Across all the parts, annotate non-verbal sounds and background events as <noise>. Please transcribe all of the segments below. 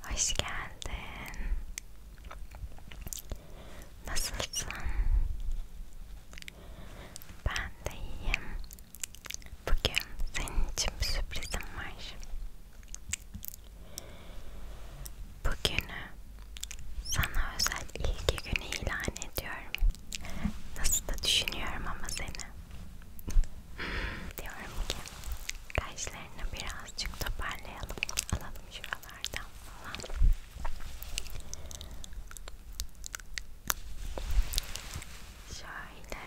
Hoş geldin. Nasılsın? Ben de iyiyim. Bugün senin için bir sürprizim var. Bugünü sana özel ilgi günü ilan ediyorum. Nasıl da düşünüyorum ama seni. <laughs> Diyorum ki Kaşlarını birazcık toparlayalım. Alalım şuralardan falan. Şöyle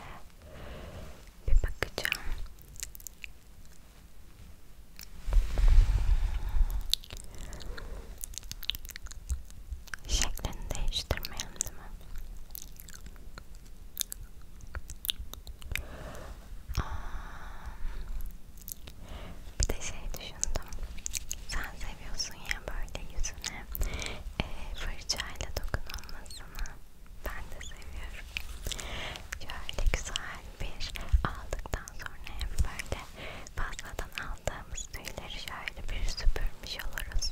bir bakacağım. Şeklini değiştirmeyelim değil mi? Ee, bir de şey düşündüm. Sen seviyorsun ya böyle yüzüne e, fırçayla dokunulmasını. Ben de seviyorum. Şöyle güzel bir aldıktan sonra hem böyle fazladan aldığımız tüyleri şöyle bir süpürmüş oluruz.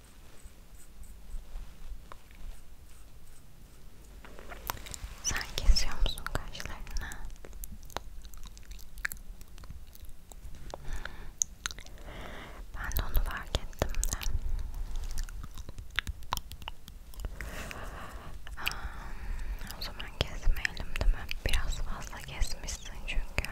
Sen kesiyor musun kaşlarını? Ben de onu fark ettim de. Aa, o zaman kesmeyelim değil mi? Biraz fazla kesmişsin çünkü.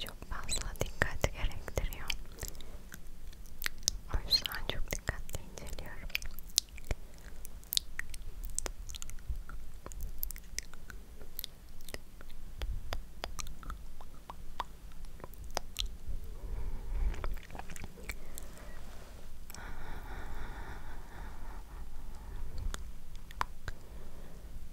çok fazla dikkat gerektiriyor. O yüzden çok dikkatli inceliyorum.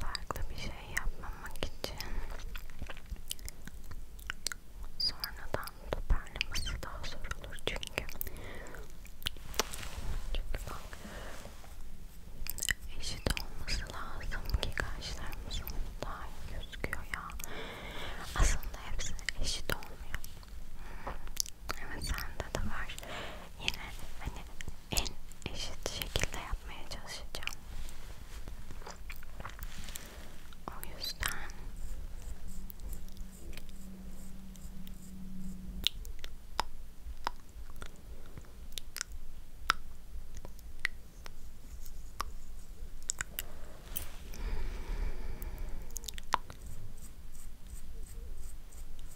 farklı bir şey yapmamak için sonradan toparlaması daha zor olur çünkü çünkü bak eşit olması lazım ki kaşlarımızın daha iyi gözüküyor ya aslında hepsi eşit olmuyor hmm, evet sende de var yine hani en eşit şekilde yapmaya çalışacağım. O yüzden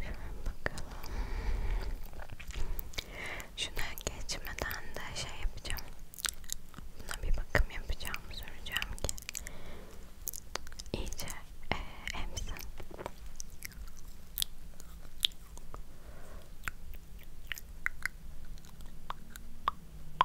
Şöyle bakalım. Şuna geçmeden de şey yapacağım. Buna bir bakım yapacağım, soracağım ki iyice e, emsin.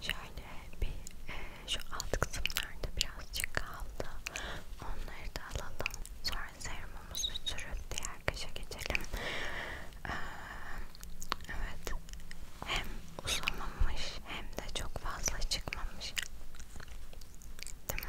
Şöyle bir e, şu alt kısımlarda birazcık kaldı. Onları da alalım. Sonra serumumuzu sürüp diğer kaşa geçelim. Ee, evet. Hem uzamamış hem de çok fazla çıkmamış. Değil mi?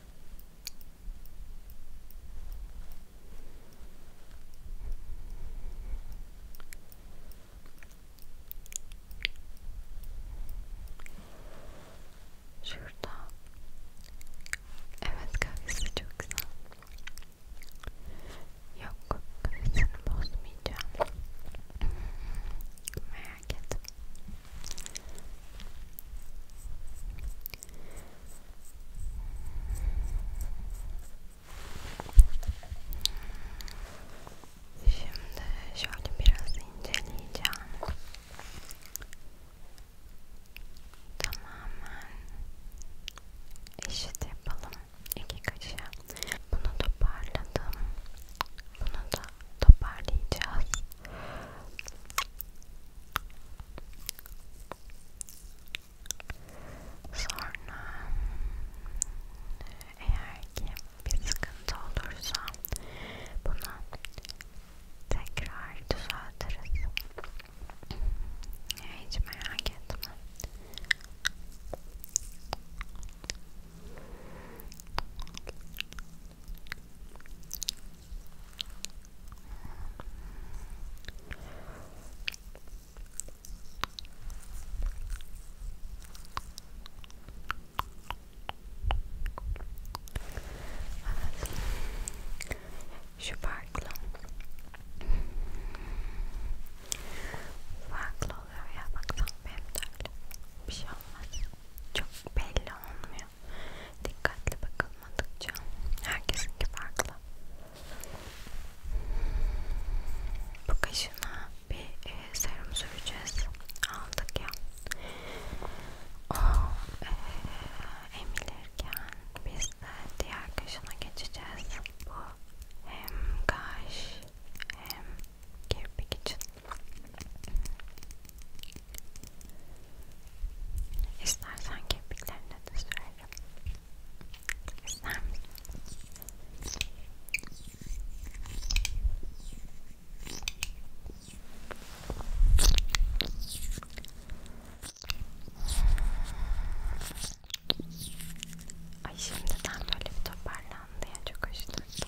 Şurada. Evet kahvesi çok güzel. Yok kahvesini bozmayacağım. Merak etme. Şimdi şöyle biraz inceleyeceğim. Tamamen eşit yapalım. İki kaşığı. Bunu toparladım. Bunu da toparlayacağız. Sonra eğer ki bir sıkıntı olursa bunu tekrar düzeltiriz. Hiç merak etme. Şu farklı farklı oluyor ya bak tam benim derdim bir şey olmaz çok belli olmuyor Dikkatli bakılmadıkça herkesinki farklı. Bu kaşına bir e, serum süreceğiz. Aldık ya. O e, emilirken biz de diğer kaşına geçeceğiz. Bu hem kaş hem kirpik için. İstersen kepiklerine de sürerim. İster misin? Ay şimdiden böyle bir toparlandı ya çok hoş durdu.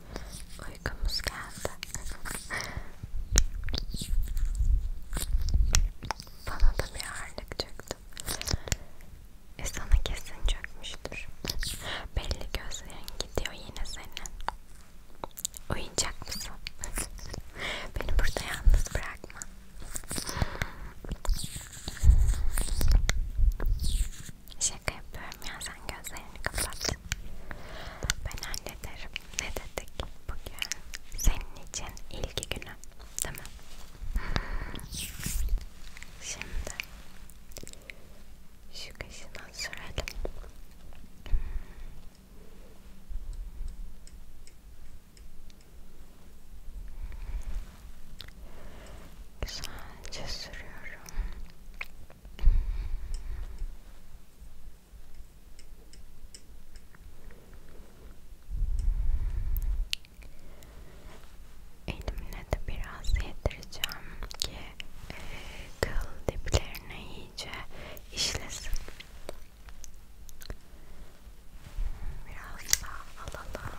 Uykumuz geldi. Bana da bir ağırlık çöktü. E sana kesin çökmüştür. Belli gözlerin gidiyor yine senin. Uyuyacak mısın? Beni burada yalnız bırakma. Şaka yapıyorum ya sen gözlerini kapat. Ben hallederim. Ne dedik bugün? Senin için ilgi günü. Değil mi? Şimdi şu kaşına sürelim. Güzelce sürüyorum. Elimle de biraz yedireceğim ki e, kıl diplerine iyice işlesin. Biraz daha alalım.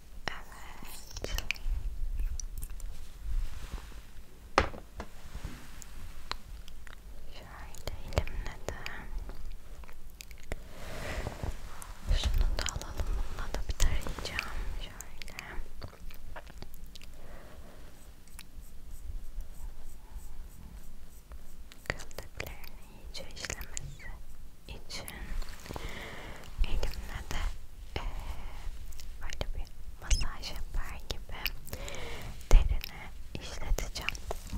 Evet. Şöyle elimle de şunu da alalım. Bununla da bir tarayacağım. Şöyle. Kıldıklarını iyice işlemesi için elimle de e, böyle bir masaj yapar gibi derine işleteceğim. Böyle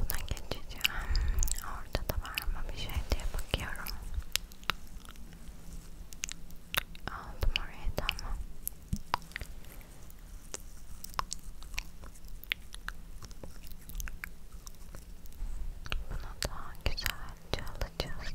Buna geçeceğim. Orada da var mı bir şey diye bakıyorum. Aldım oraya da ama. Bunu daha güzelce alacağız.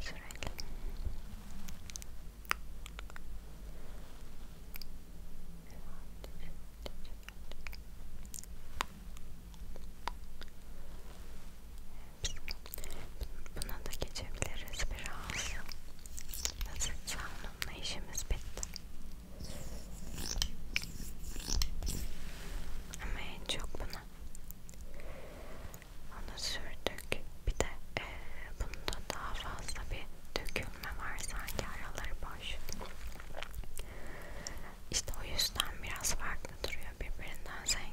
sürekli Buna da geçebiliriz biraz. Nasıl canımla işimiz bitti. Ama en çok bunu onu. Onu sürdük. Bir de e, bunda daha fazla bir dökülme var sanki araları boş. İşte o yüzden biraz farklı duruyor birbirinden zengin.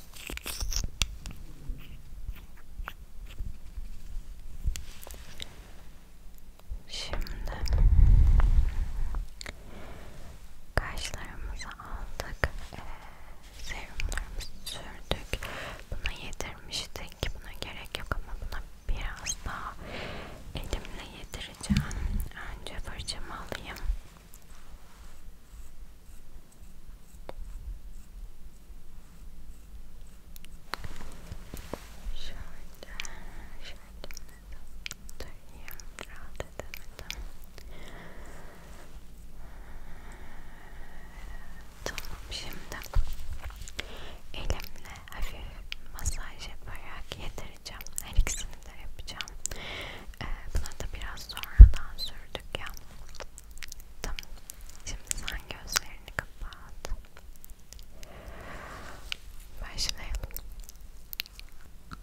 Şimdi kaşlarımızı aldık, ee, serumlarımızı sürdük. Buna yedirmiştik. Buna gerek yok ama buna biraz daha elimle yedireceğim. Önce fırçamı alayım. Şöyle, şöyle döneyim, rahat edemedim. Tamam şimdi elimle hafif masaj yaparak yedireceğim. Her ikisini de yapacağım. Ee, buna da biraz sonradan sürdük ya. Tamam. Şimdi sen gözlerini kapat. Başlayalım. Tamam.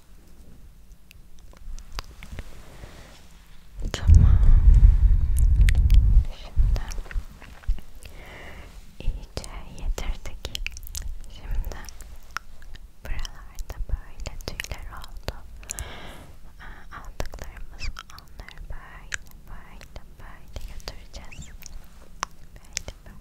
Tamam. Şimdi iyice yedirdik. Şimdi buralarda böyle tüyler oldu. Aldıklarımız onları böyle böyle böyle götüreceğiz. Böyle böyle.